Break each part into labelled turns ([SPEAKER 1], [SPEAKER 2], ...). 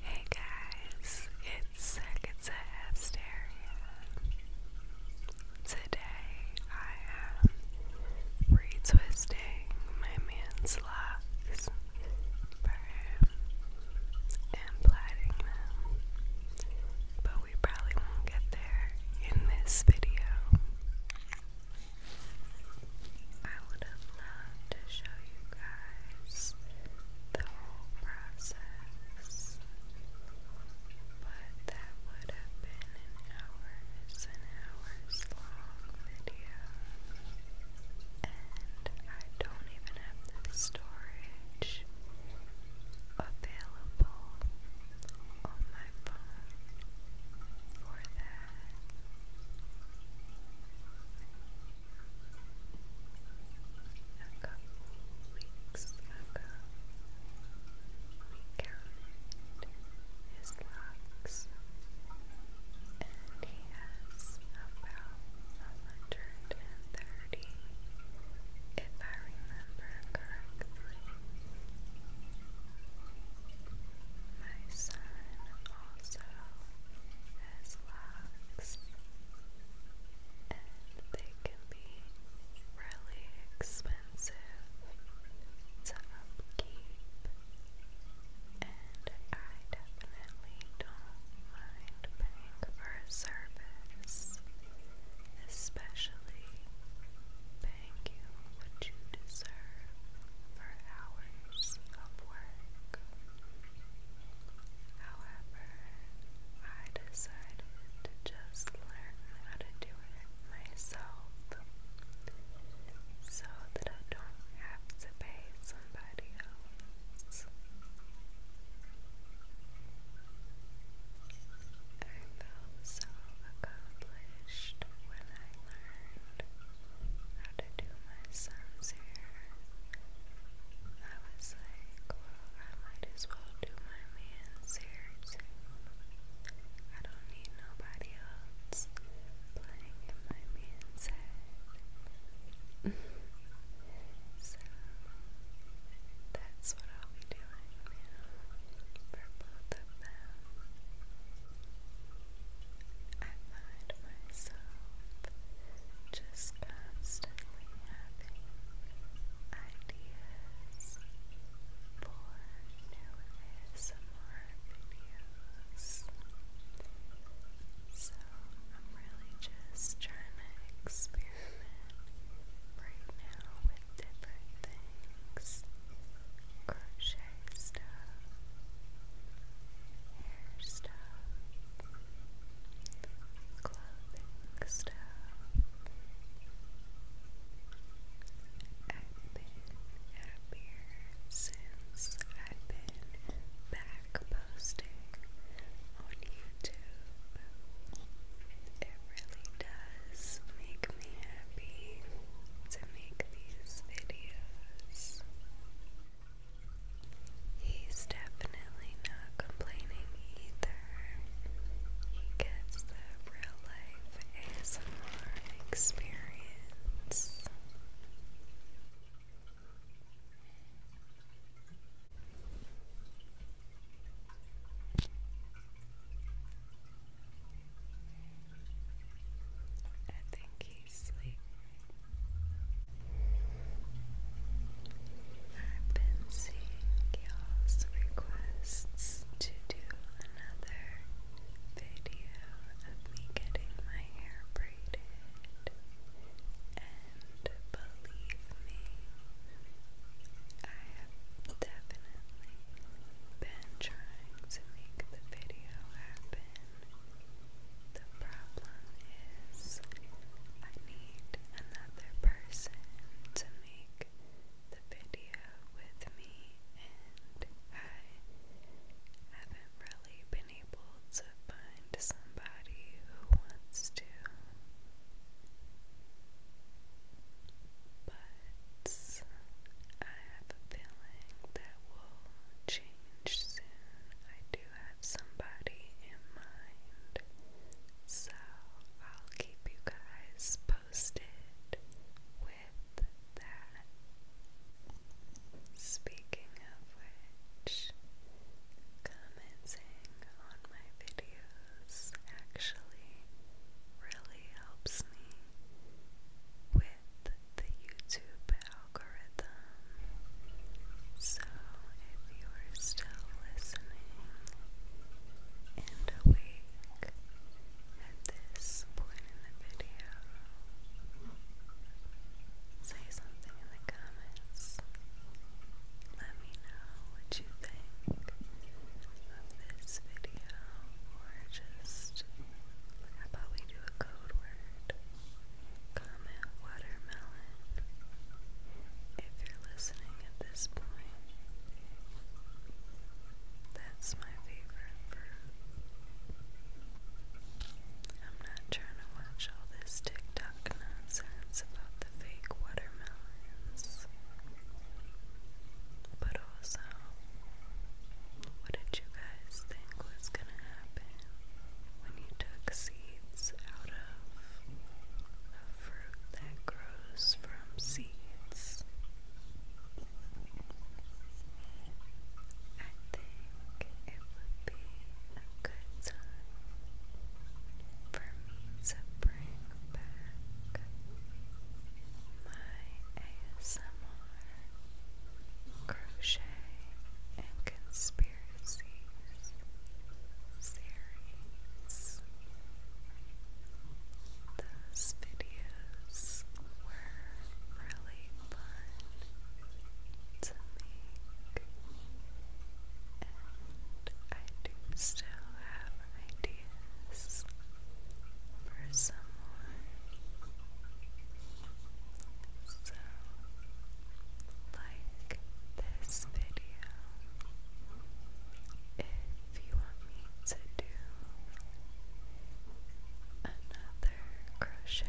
[SPEAKER 1] Hey guys, it's Sekatsa Today I am retwisting my man's locks for him and plaiting them. But we probably won't get there in this video. I would have loved to show you guys the whole process, but that would have been an hours and hours long video, and I don't even have the storage available on my my phone for that. A couple weeks ago, we counted his locks, and he has about a hundred and thirty, if I remember correctly. My son also has locks, and they can be really expensive to upkeep, and I definitely don't mind paying for service, especially. Thank you what you deserve for hours of work. However, I decided to just learn how to do it myself so that I don't have to pay somebody else. I felt so accomplished blushed when I learned how to do my son's hair. I was like, well, I might as well do my man's hair too. I don't need nobody else playing in my man's head. so that's what I'll be doing now for both of them. I find myself just constantly having ideas for new ASMR videos. So I'm really just trying to experiment right now different things crochet stuff, hair stuff, clothing stuff. I've been happier since I've been back posting on YouTube. It really does make me happy to make these videos. He's definitely not complaining either. He gets the real life ASMR experience. I think he's sleeping. I've been seeing you requests to do another video of me getting my hair braided, and believe me, I have definitely been trying to make the video happen. The problem is, I need another person to make the video with me, and I haven't really been able to find somebody who wants to but I have a feeling that will change soon. I do have somebody in mind. So I'll keep you guys posted with that. Speaking of which, comments and on my videos actually really helps me with the YouTube algorithm. So if you are still listening and awake at this point in the video, say something in the comments. Let me know what you of this video, or just how about we do a code word? Comment watermelon if you're listening at this point. That's my favorite I'm not trying to watch all this TikTok nonsense about the fake watermelons. But also, what did you guys think was gonna happen when you took seeds out of a fruit that grows from seeds? I think it would be a good time for me to bring back. My ASMR crochet and conspiracies series. Those videos were really fun to make. And I do still have ideas for someone. So, like this video if you want me to do another crochet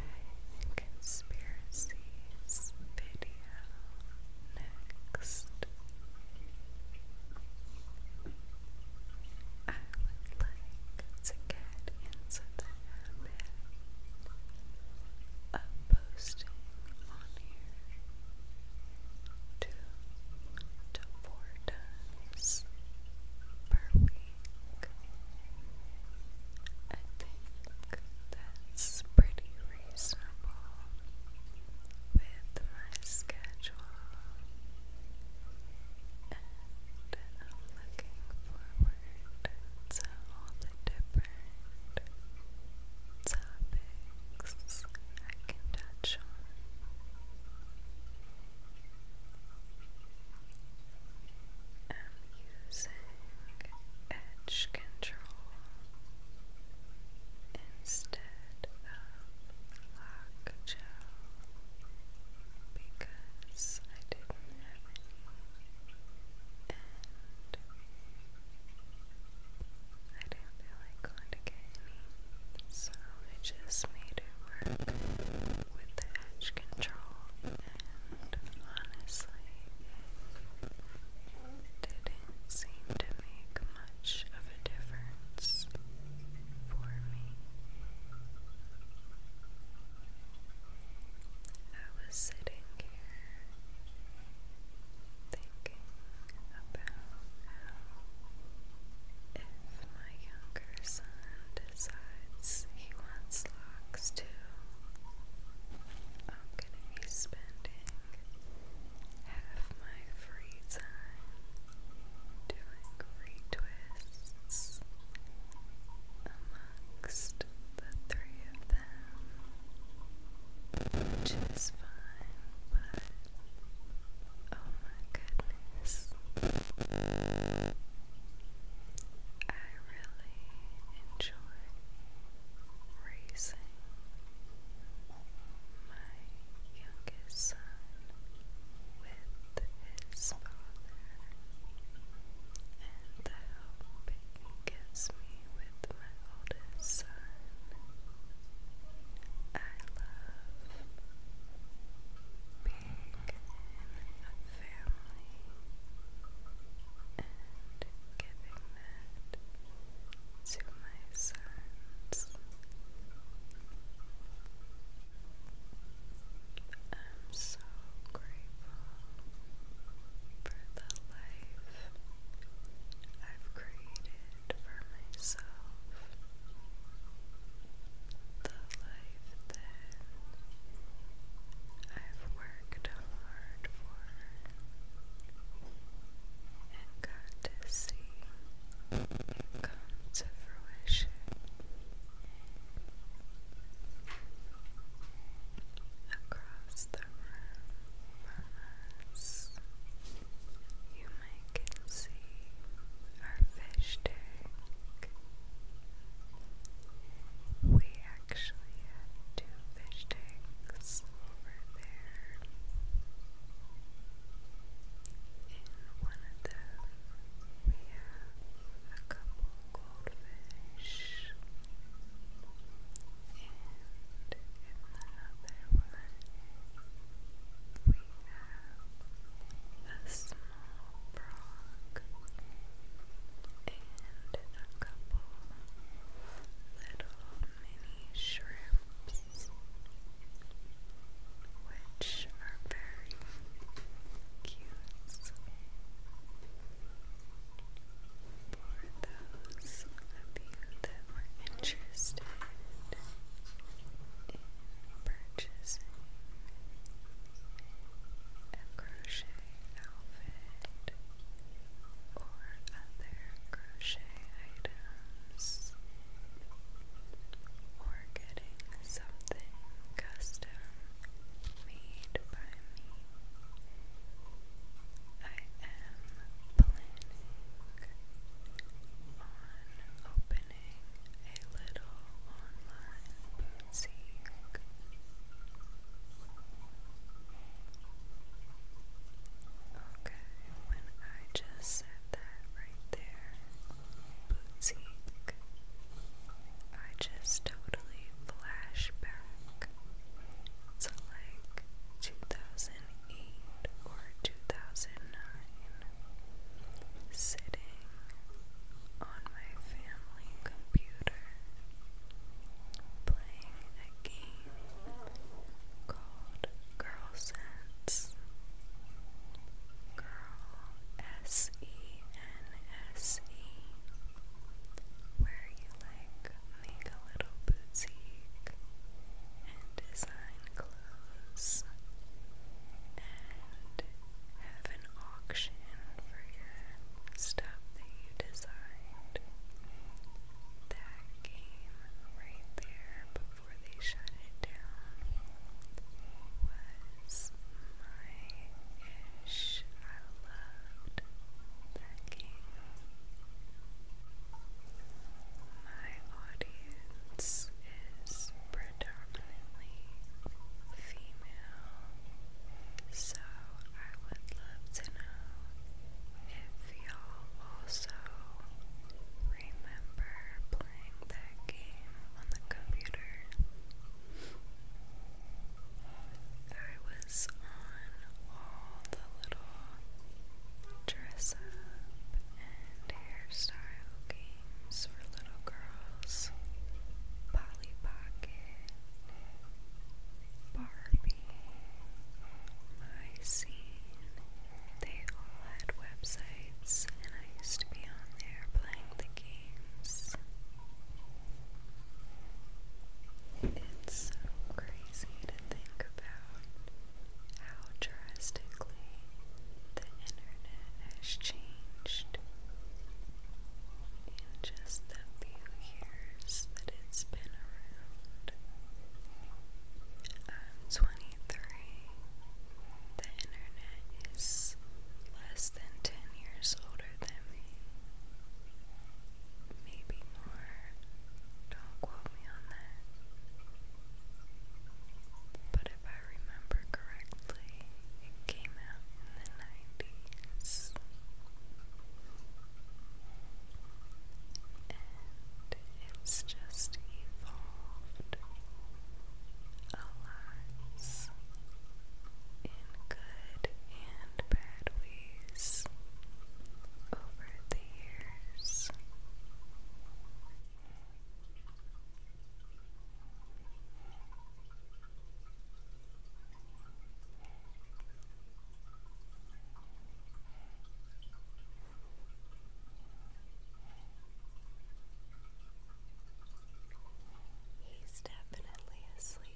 [SPEAKER 1] conspiracies video next. I would like to get into the habit of posting on here two to four times per week. I think that's pretty reasonable with my schedule, and looking forward to all the different topics I can touch on. I'm using edge control instead of lock because I didn't have any and I didn't feel like going to get any so I just made it work with the edge control honestly, didn't seem to make much of a difference for me. I was sitting here thinking about how if my younger son decides he wants locks too, gonna be spending half my free time doing retwists amongst the three of them, which fine, but oh my goodness. I really enjoy raising my youngest son with his father and the help he gives with my oldest son. I love being in a family and giving that to my sons. I'm so grateful for the life I've created for myself. The life that I've worked worked hard for and got to see come to fruition. Across the room you might see our fish tank. We actually had two fish tanks over there. In one of them, we have a couple goldfish, and in another one, we have a small and a couple little mini shrimps, which are very cute. For those of you that were interested in purchasing a crochet outfit or other crochet items or getting something custom made by me. I am planning on opening a little online See? Okay, when I just said that right there, boutique, I just totally flash to like 2008 or 2009, sitting on my family computer playing a game called Girl Sense. Girl S E N S E, where you like make a little boutique and design clothes and have an auction for your stuff that you designed. That game right there before they shut it down was my ish. I loved that game. My audience is predominantly predominantly female, so I would love to know if y'all also remember playing that game on the computer. I was on all the little dress up and hairstyle games for little girls. Polly Pocket, Barbie, My Scene. They all had websites, and I used to be on there playing the games. It's so crazy to think about how drastically the internet has changed and just the few years that it's been around. I'm 23. The internet is less than 10 years older than me. Maybe more. Don't quote me on that. But if I remember correctly, it came out in the 90s. And it's just evolved a lot in good and bad ways over the years. He's definitely asleep.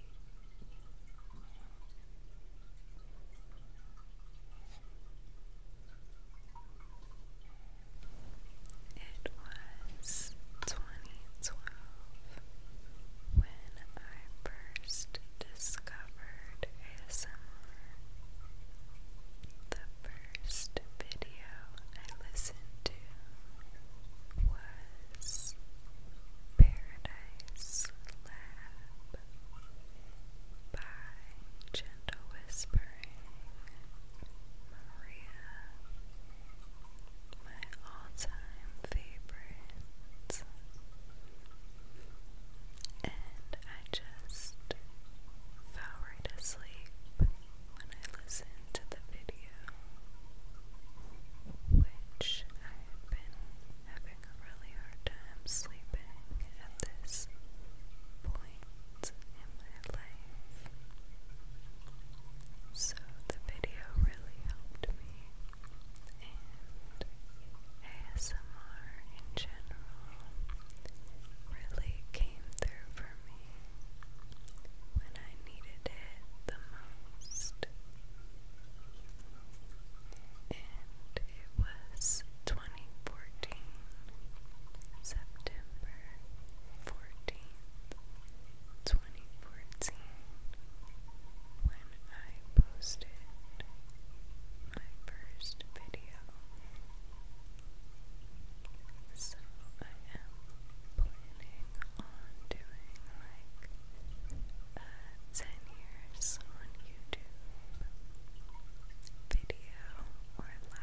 [SPEAKER 1] It was 2012 when I first discovered ASMR. The first video I listened to was Paradise Lab by Gentle Whispering. Maria, my all-time favorite, and I just fell right asleep when I listened to the video, which I had been having a really hard time sleeping at this point point in my life. So the video really helped me, and ASMR in general really came through for me when I needed it the most. And it was 2014, September 14th, 2014, when I posted my first video. So I am planning on doing like uh, 10 years on YouTube video or live.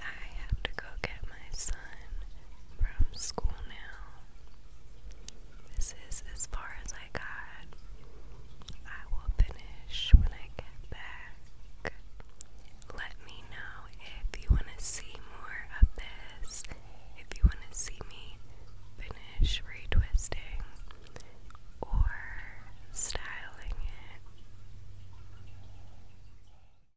[SPEAKER 1] I have to go get my son from school now. This is as far as I got. I will finish when I get back. Let me know if you want to see more of this, if you want to see me finish retwisting or styling it.